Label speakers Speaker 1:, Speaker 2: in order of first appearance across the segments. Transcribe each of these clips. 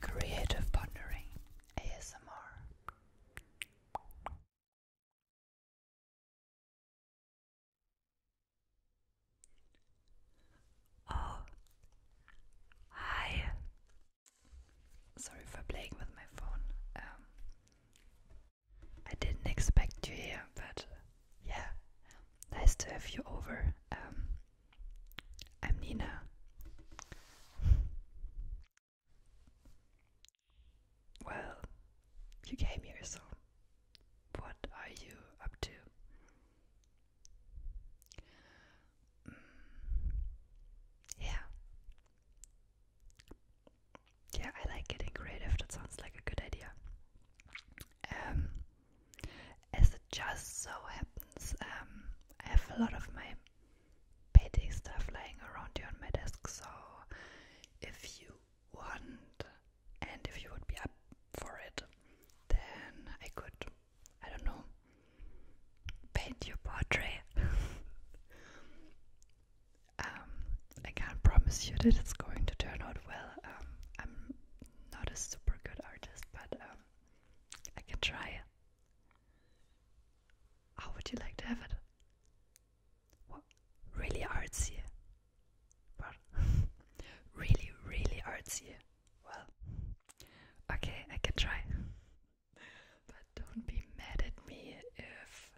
Speaker 1: Creative pondering, ASMR. Oh, hi. Sorry for playing with my phone. Um, I didn't expect you here, but yeah, nice to have you over. Um, I'm Nina. Well, you came here, so what are you up to? Mm, yeah. Yeah, I like getting creative. That sounds like a good idea. Um, as it just so happens, um, I have a lot of my painting stuff lying around here on my desk. So, if you want and if you would be up for it, then I could, I don't know, paint your portrait. Um, I can't promise you that it's going to turn out well. Um, not a super good artist, but um, I can try. How would you like to have it? What? Really artsy. What? really, really artsy. Well, okay, I can try. but don't be mad at me if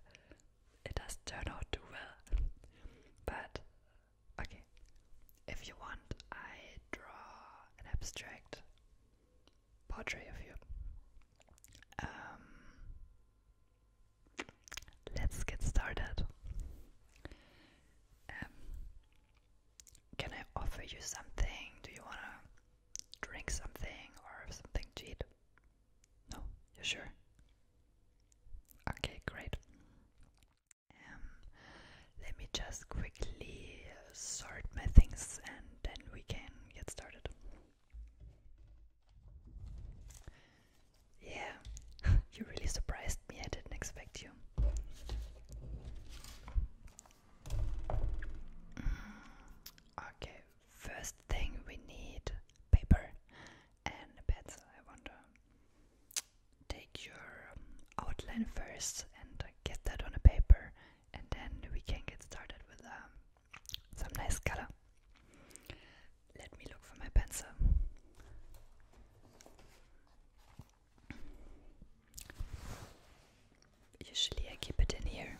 Speaker 1: it does turn out too well. But Okay, if you want, I draw an abstract portrait of you. Um, let's get started. Um, can I offer you something? Do you want to drink something or something to eat? No, you sure? Okay, great. Um, let me just quickly sort my things and then we can get started. Yeah, you really surprised me, I didn't expect you. Mm, okay, first thing we need paper and a pencil, I wonder take your um, outline first and uh, get that on a paper, and then we can get started with um, some nice color. Let me look for my pencil. Usually, I keep it in here.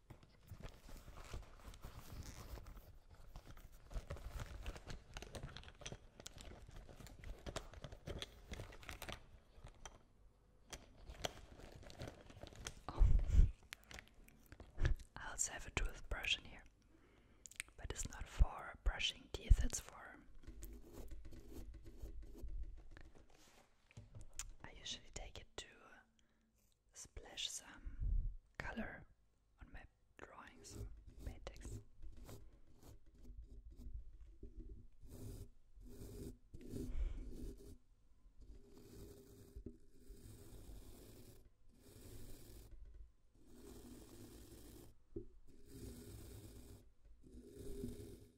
Speaker 1: Oh. I also have a toothbrush in here, but it's not for brushing teeth, it's for. I usually take it to splash some color on my drawings paintings.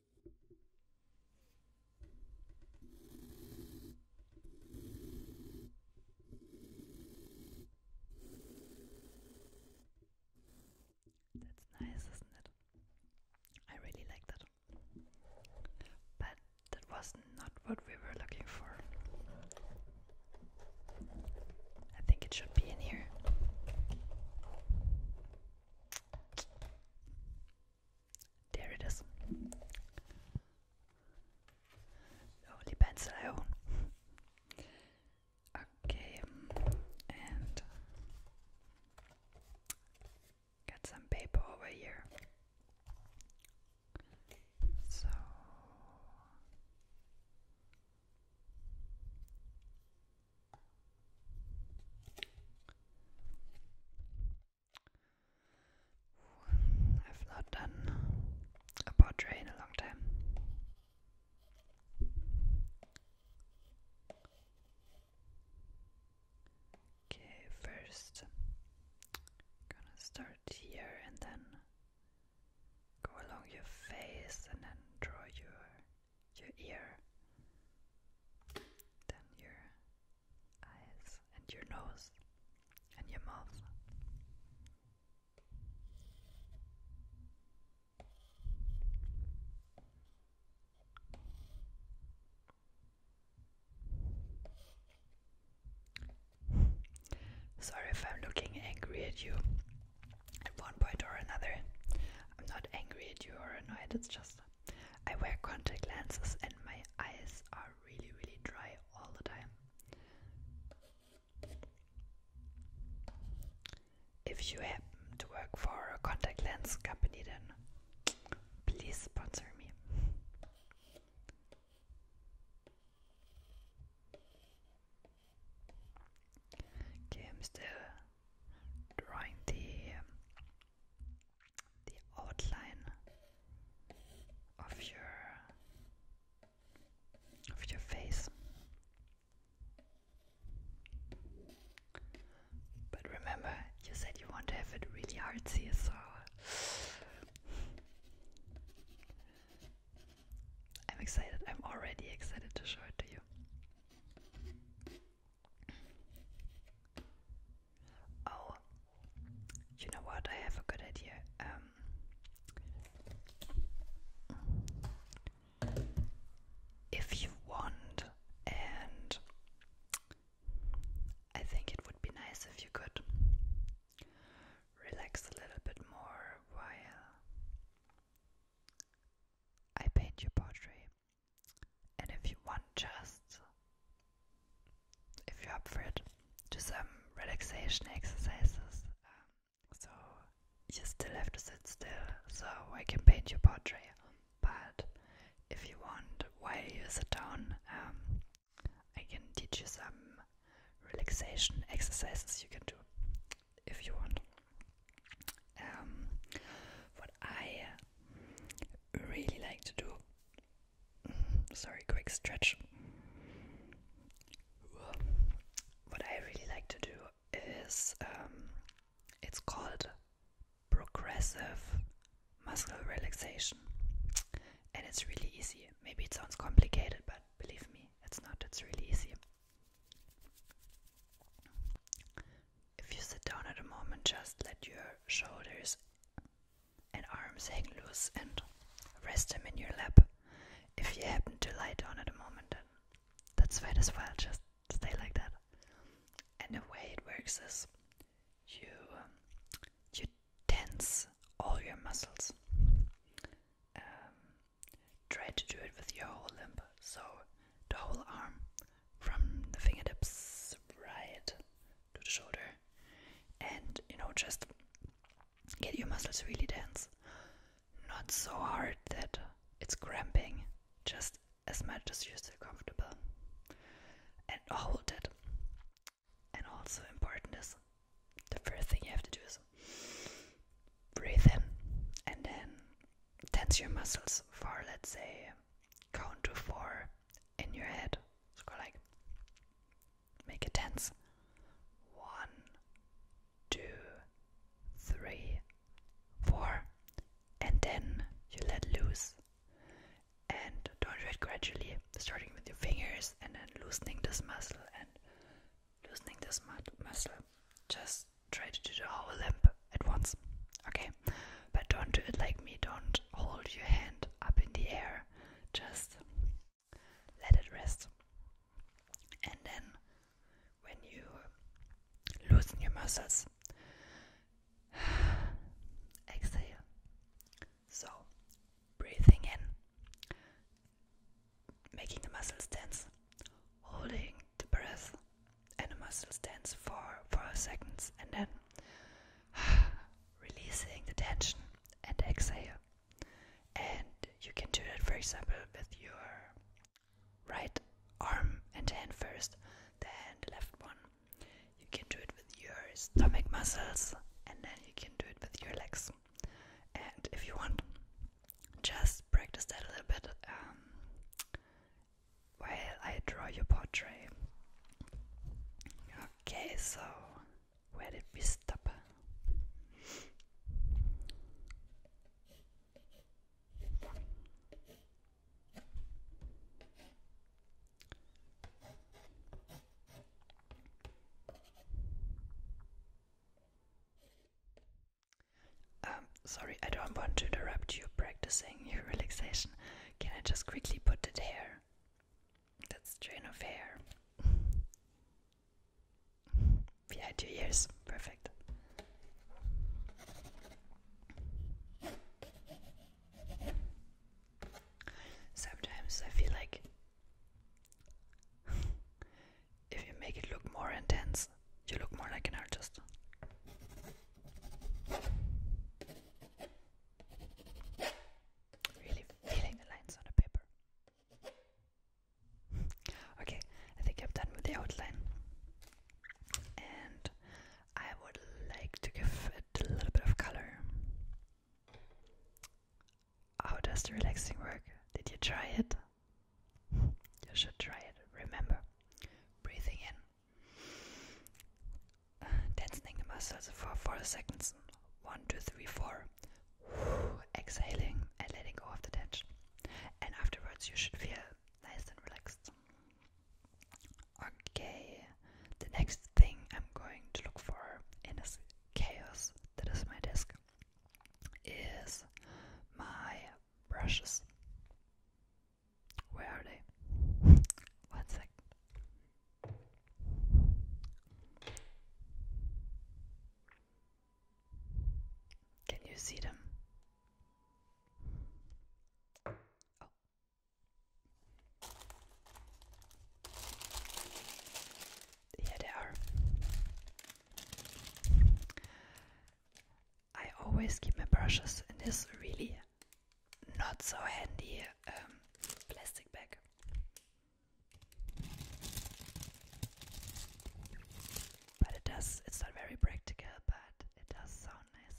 Speaker 1: That's nice, isn't it? I really like that. But that was not what we were looking for. I think it should be in here. There it is. The oh, pencil I oh. own. okay, and got some paper over here. So I've not done a portrait in a long time. Okay, first I'm gonna start here and then go along your face and then draw your your ear, then your eyes and your nose and your mouth. Sorry if I'm looking angry at you at one point or another. I'm not angry at you or annoyed, it's just I wear contact lenses and my eyes are really, really dry all the time. If you happen to work for a contact lens company, then please sponsor me. Okay, I'm still drawing the the outline of your of your face. But remember, you said you want to have it really artsy, so I'm excited. I'm already excited to show it to you. Oh, you know what? I have a good idea. Um, if you want, and I think it would be nice if you could relax a little bit more while I paint your portrait. And if you want just, if you're up for it, do some relaxation exercises. Um, so you still have to sit still, so I can paint your portrait. But if you want, while you sit down, um, I can teach you some relaxation exercises you can do if you want. Um, what I really like to do Sorry, quick stretch. What I really like to do is um, it's called progressive muscle relaxation, and it's really easy. Maybe it sounds complicated, but believe me, it's not. It's really easy. If you sit down at a moment, just let your shoulders and arms hang loose and rest them in your lap. If you happen to lie down at a moment, that's fine as well, just stay like that. And the way it works is you um, you tense all your muscles. Um, try to do it with your whole limb, so the whole arm from the fingertips right to the shoulder, and you know, just get your muscles really tense. Not so hard that it's cramping, just as much as you're still comfortable. And hold it. And also important is the first thing you have to do is breathe in and then tense your muscles for let's say count to four in your head. So go like, make it tense. One, two, three, four, and then you let loose. And do it gradually, starting with your fingers and then loosening this muscle and loosening this muscle. Just try to do the whole limb at once. Okay, but don't do it like me. Don't hold your hand up in the air. Just let it rest. And then when you loosen your muscles, exhale. So, breathing in, making the muscles tense, holding the breath and the muscles tense for 4 seconds, and then releasing the tension and exhale. And you can do that, for example, with your right arm and hand first, then the left one. You can do it with your stomach muscles, and then you can do it with your legs. And if you want, just practice that a little bit um, while I draw your portrait. Okay, so where did we stop? Um, sorry, I don't want to interrupt you practicing your relaxation. Can I just quickly put it here? That's strain of hair. yeah, two years. Perfect. Sometimes I feel like if you make it look more intense, you look more like an artist. Really feeling the lines on the paper. okay, I think I'm done with the outline. And I would like to give it a little bit of color. How does the relaxing work? Did you try it? You should try it. Remember, breathing in Tensing the muscles for four seconds. One, two, three, four. Exhaling and letting go of the tension. And afterwards, you should feel nice and relaxed. Okay, the next thing I'm going to look for in this chaos that is my desk is my brushes. Where are they? One second. Can you see them? Here oh. they are. I always keep my brushes in this really not so handy um, plastic bag. But it does, it's not very practical, but it does sound nice.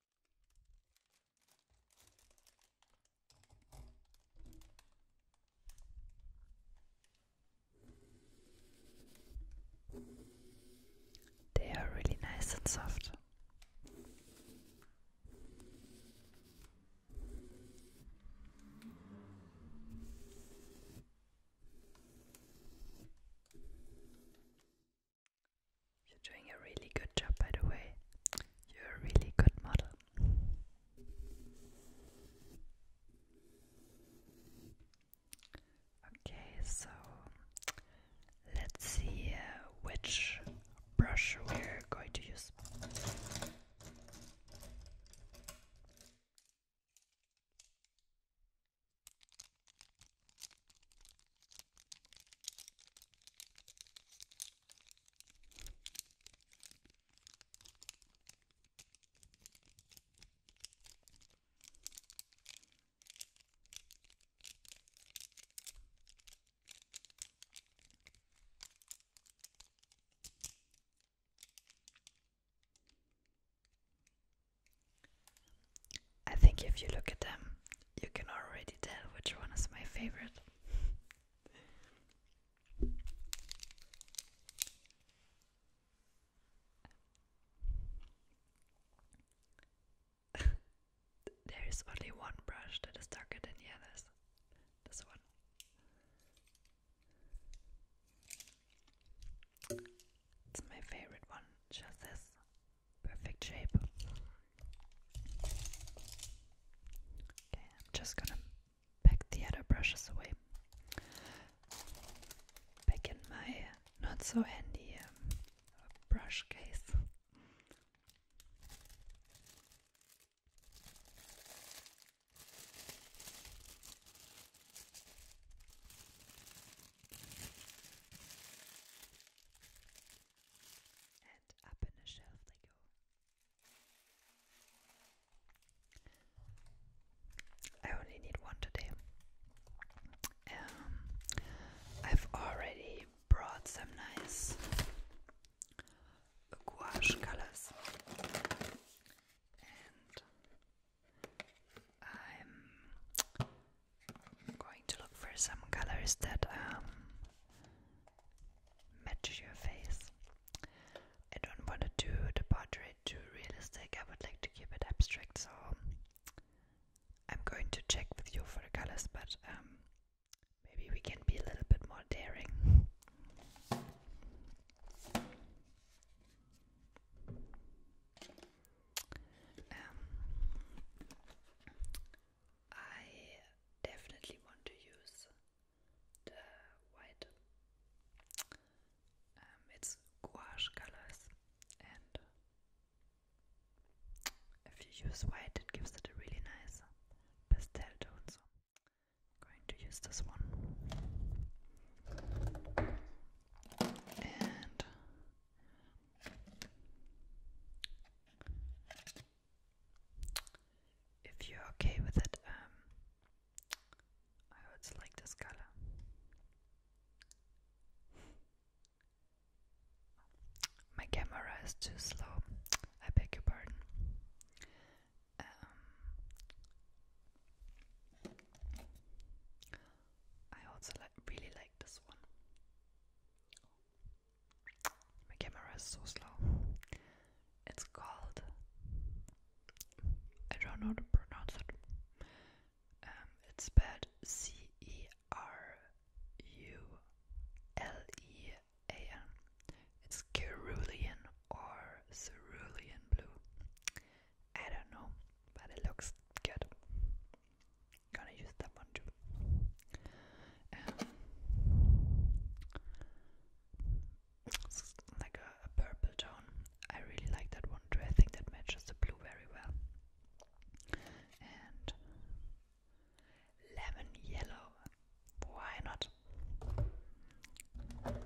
Speaker 1: They are really nice and soft. You're doing a really good job, by the way. You're a really good model. Okay, so let's see uh, which brush we're going to use. I think if you look at them, you can already tell which one is my favorite. there is only one brush that is darker than the others. This one. It's my favorite one, just this perfect shape. Okay, I'm just gonna pack the other brushes away. Back in my not so handy um, brush case. I only need one today. Um, I've already brought some nice gouache colors, and I'm I'm going to look for some colors that um, match your face. I don't want to do the portrait too realistic. I would like to keep it abstract, so I'm going to check with you for the colors, but um, maybe we can be a little bit more daring. Um, I definitely want to use the white. Um, it's gouache colors, and if you use white, it gives it a really nice pastel tone. So I'm going to use this one if you're okay with it, um, I also like this color. My camera is too slow. I beg your pardon. Um, I also li really like this one. My camera is so slow. It's called. I don't know how to pronounce it. Um, it's spelled C E R U L E A N. It's cerulean or cerulean blue. I don't know, but it looks good. Gonna use that one too. like a purple tone. I really like that one too. I think that matches the blue very well. And lemon yellow. Why not? And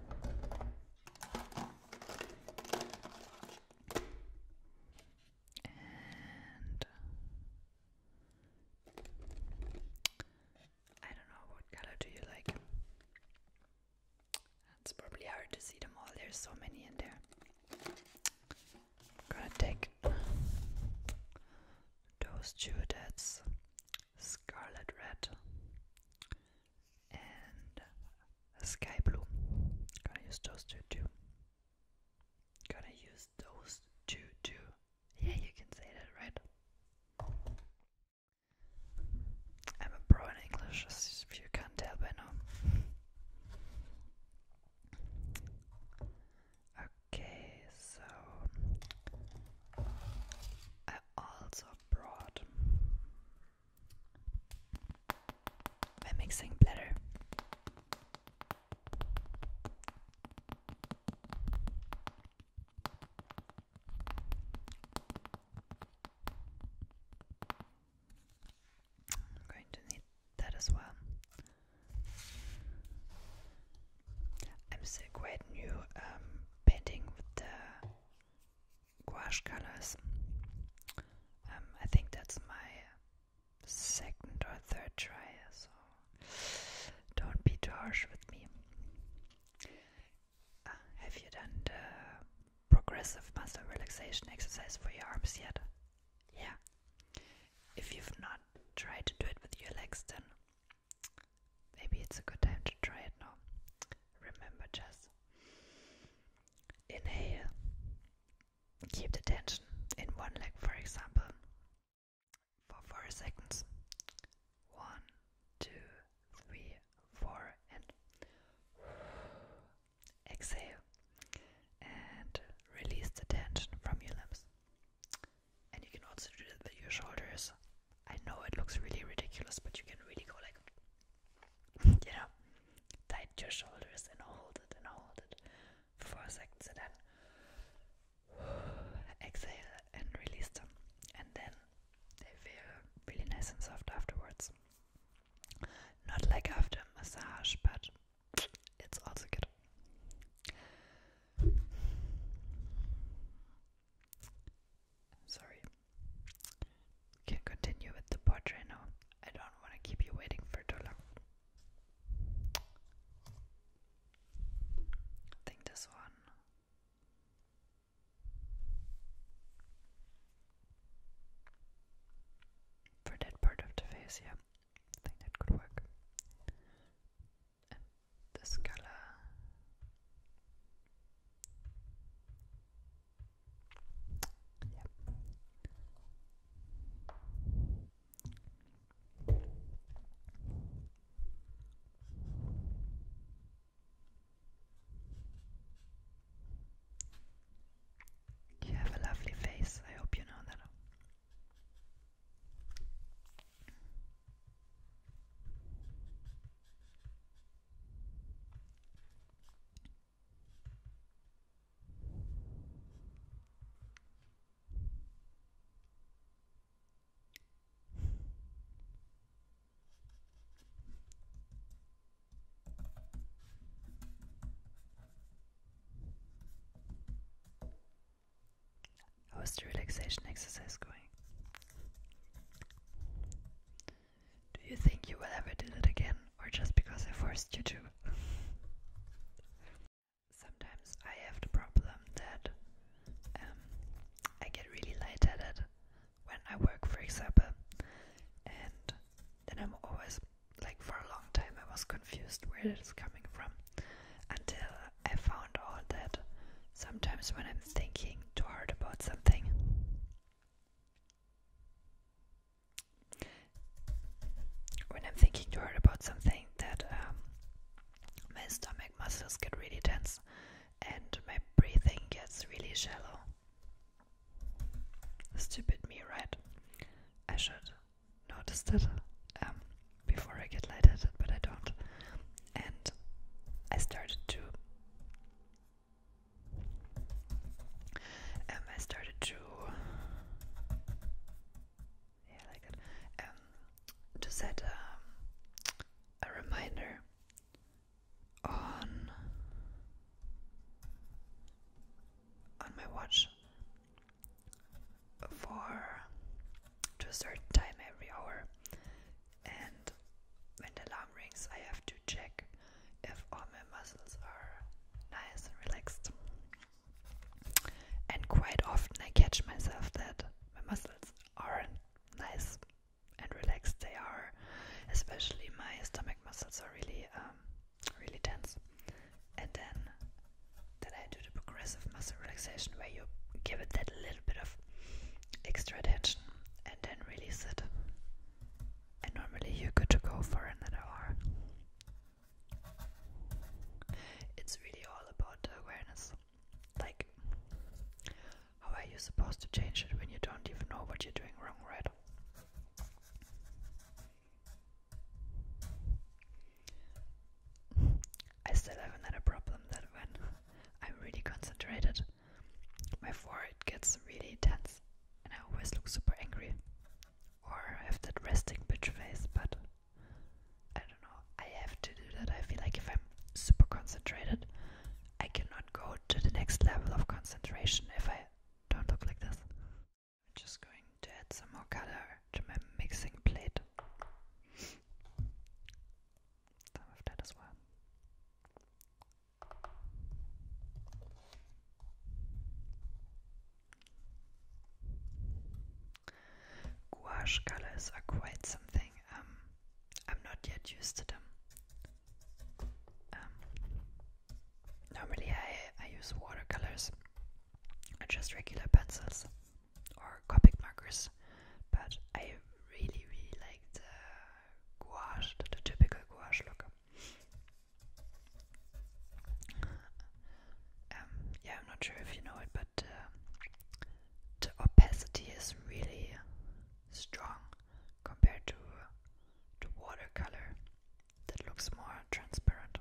Speaker 1: I don't know what color do you like. It's probably hard to see them all. There's so many in there. I'm gonna take those two. That's scarlet red and sky blue. Gonna use those two too. Gonna use those two too. Yeah, you can say that, right? I'm a pro in English, as you can't tell by now. Okay, so I also brought my mixing bladder. I'm going to need that as well. I'm still quite new um, painting with the gouache colors. Um, I think that's my second or third try, so don't be too harsh with me. Ah, have you done the progressive muscle relaxation exercise for your arms yet? Yeah. If you've not tried to do it with your legs, then maybe it's a good time to try it now. Remember just inhale, keep the tension in one leg, for example, for four seconds. One, two, three, four, and exhale and release the tension from your limbs. And you can also do that with your shoulders. I know it looks really ridiculous, but you can really go like, you know, tight your shoulders and hold it and hold it Four seconds second, then exhale and release them, and then they feel really nice and soft afterwards. Not like after a massage, but it's also good. Sorry. We can continue with the portrait now. I don't want to keep you waiting for too long. I think this one. For that part of the face, yeah, I think that could work. this color. Yep. You have a lovely face, I hope you know that. How is the relaxation exercise going? Do you think you will ever do it again, or just because I forced you to? Sometimes I have the problem that um, I get really light-headed when I work, for example, and then I'm always like for a long time I was confused where it's coming from until I found out that sometimes when I'm thinking too hard about something, when I'm thinking too hard about something, that um, my stomach muscles get really tense and my breathing gets really shallow. Stupid me, right? I should notice that um, before I get lightheaded, but I don't. And I started to. Um, I started to yeah, like um, to set um, a reminder on on my watch for to a certain time every hour, and when the alarm rings, I have to check if all my muscles are nice and relaxed. And quite often I catch myself that my muscles aren't nice and relaxed. They are, especially my stomach muscles are really, um, really tense. And then, then I do the progressive muscle relaxation where you give it that little bit of extra attention and then release it. And normally you're good to go for another hour. It's really all about awareness. Like, how are you supposed to change it when you don't even know what you're doing wrong, right? I still have another problem that when I'm really concentrated, my forehead gets really tense and I always look super angry or have that resting bitch face, but I don't know. I have to do that. I feel like if I'm super concentrated, I cannot go to the next level of concentration if I don't look like this. I'm just going to add some more color to my mixing plate. Some of that as well. Gouache colors are quite something. Um, I'm not yet used to them. Um, normally, I, I use watercolors or just regular pencils or Copic markers, but I really, really like the gouache, the typical gouache look. Um, yeah, I'm not sure if you know it, but uh, the opacity is really strong compared to uh, the watercolor that looks more transparent.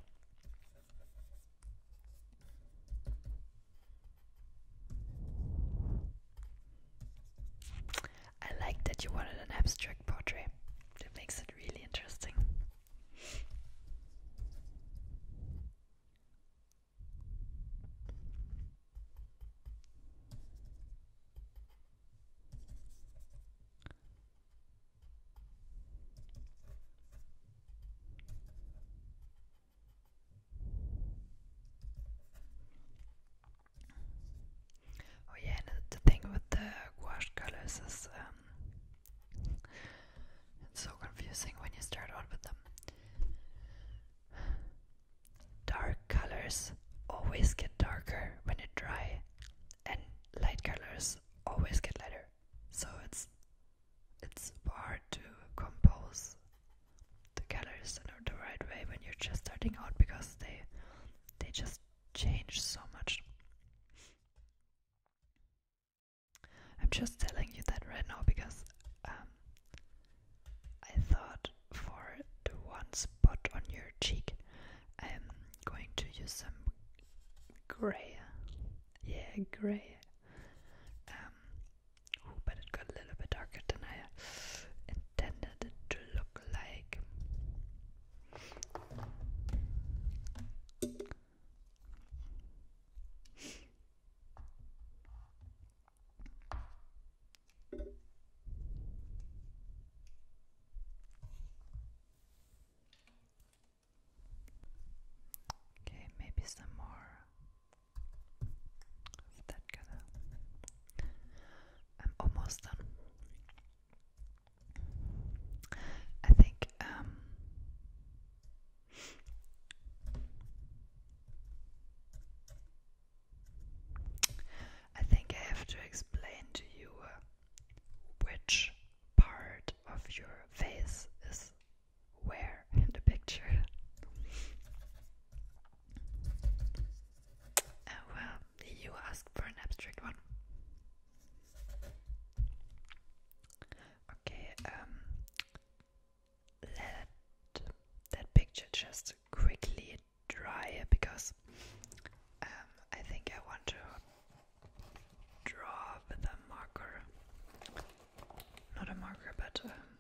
Speaker 1: I like that you wanted an abstract portrait. That makes it really interesting. Oh yeah, the thing with the gouache is um, it's so confusing when you start out with them. Dark colors always get darker when you dry, and light colors always get lighter. So it's it's hard to compose the colors in the right way when you're just starting out because they they just change so much. I'm just telling you that right now because um, I thought for the one spot on your cheek, I'm going to use some gray. Yeah, gray. Um, but it got a little bit darker than I intended it to look like. Okay, maybe some more of that color. I'm almost done. I think um, I think I have to explain to you uh, which part of your face is where in the picture. Oh well, you asked for an abstract one. Okay, um, let that picture just quickly dry because um, I think I want to draw with marker. Not a marker, but um,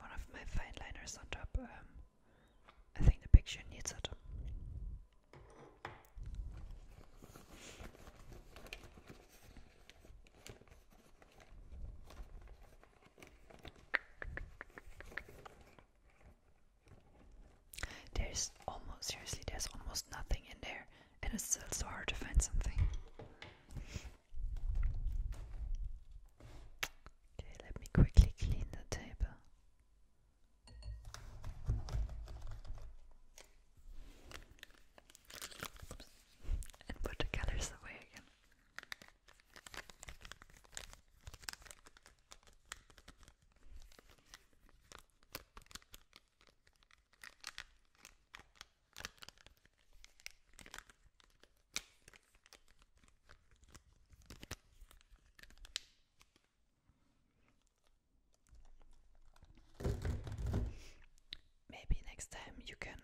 Speaker 1: one of my fine liners on top. I think the picture needs it. There's almost, seriously, there's almost nothing in there, and it's still so hard to find something. Okay, let me quickly clean the table. Oops. And put the colors away again. Maybe next time you can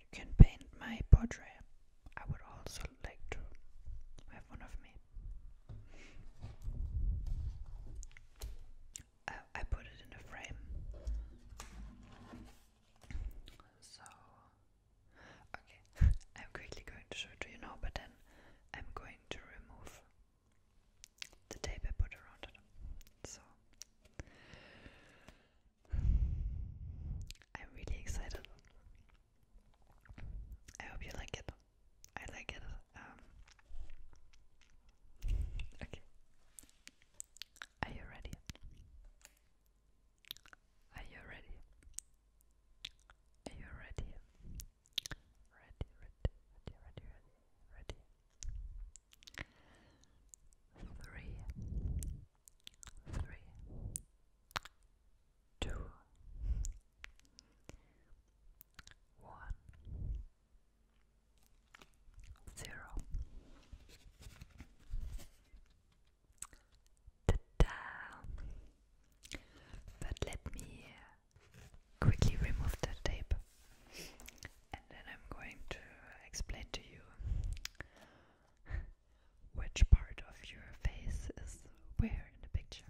Speaker 1: you can paint my portrait. I would also like to have one of me. I, put it in a frame. So okay, I'm quickly going to show it to you now, but then I'm going to remove the tape I put around it. So I'm really excited. I hope you like it. I like it. Um, okay. Are you ready? Are you ready? Are you ready? ready, ready, ready, ready, ready. Three, three, two, one, zero. Ta -da! But let me quickly remove the tape and then I'm going to explain to you which part of your face is where in the picture.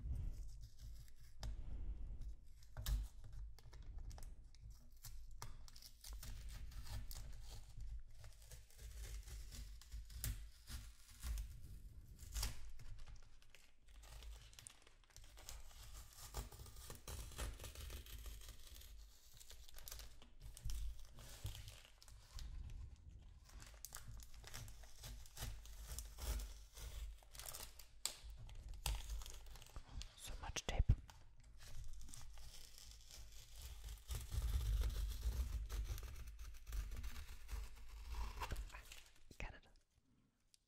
Speaker 1: So much tape. Canada.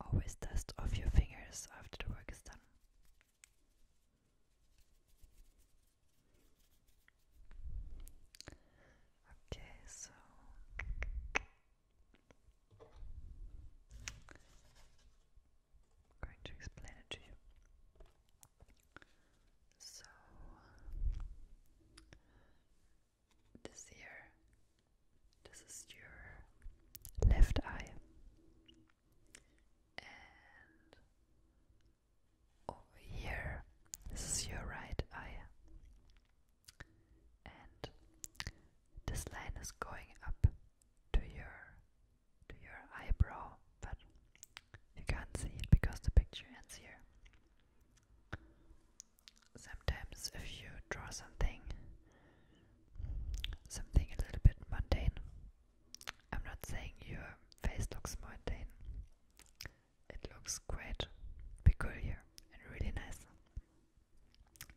Speaker 1: Always dust off your fingers after the work is done. Okay, so I'm going to explain it to you. So this here, this is your left eye, and over here, this is your right eye, and this line is going up to your to your eyebrow, but you can't see it because the picture ends here. Sometimes, if you draw something, something a little bit mundane, I'm not saying your face looks mundane, it looks quite peculiar and really nice.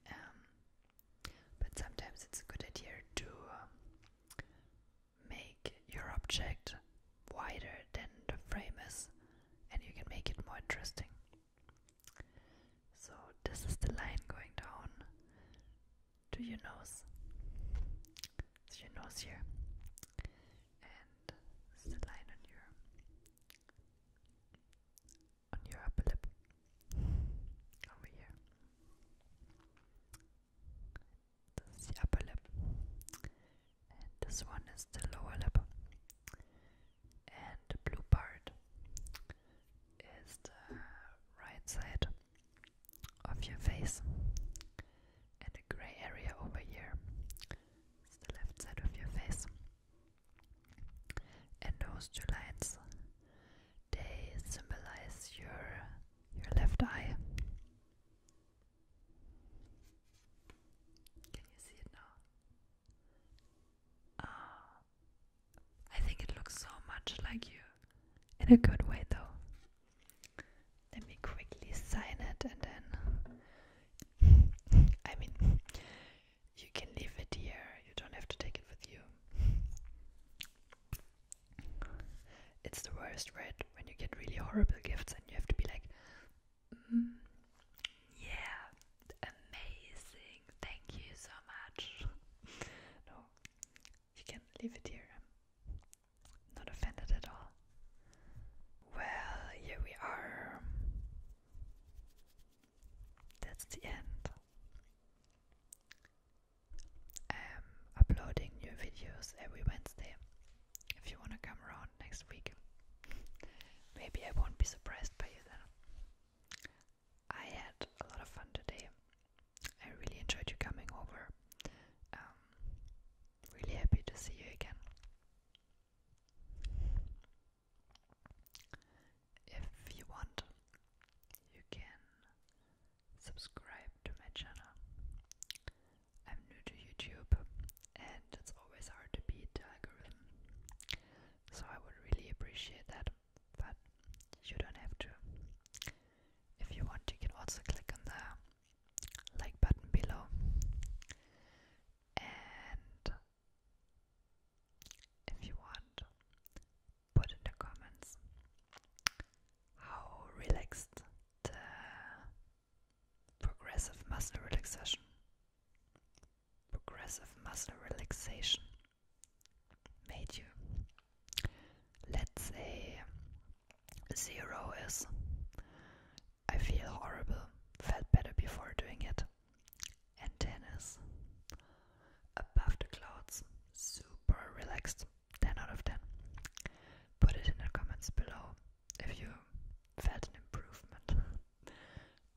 Speaker 1: Um, but sometimes it's a good idea to um, make your object wider than the frame is and you can make it more interesting. So this is the line going down to your nose. It's your nose here. And this is the line on your on your upper lip. Over here. This is the upper lip this one is the lower lip and the blue part is the right side of your face and the gray area over here is the left side of your face and those two lines they symbolize your your left eye can you see it now? Ah, I think it looks so much like you. In a good way, though. Let me quickly sign it and then. I mean, you can leave it here, you don't have to take it with you. It's the worst, right? When you get really horrible gifts and you have to be like, Mm. yeah, amazing. Thank you so much. no, you can leave it here. I'm not offended at all. Well, here we are. That's the end. I'm uploading new videos every Wednesday if you want to come around next week. Maybe I won't be surprised by you then. I had a lot of fun today. I really enjoyed you coming over. Um, really happy to see you again. If you want, you can subscribe to my channel. I'm new to YouTube and it's always hard to beat the algorithm. So I would really appreciate that, but you don't have to. If you want, you can also click on the like button below. And if you want, put in the comments how relaxed the Progressive muscle relaxation. Progressive muscle relaxation made you. Let's say zero is I feel horrible, felt better before doing it. And 10 is above the clouds, super relaxed, 10 out of 10. Put it in the comments below if you felt an improvement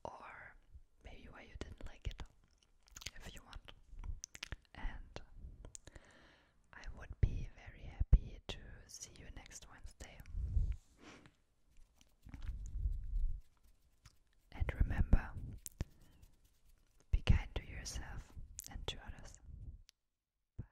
Speaker 1: or maybe why you didn't like it if you want. And I would be very happy to see you next Wednesday. And remember, be kind to yourself and to others. Bye.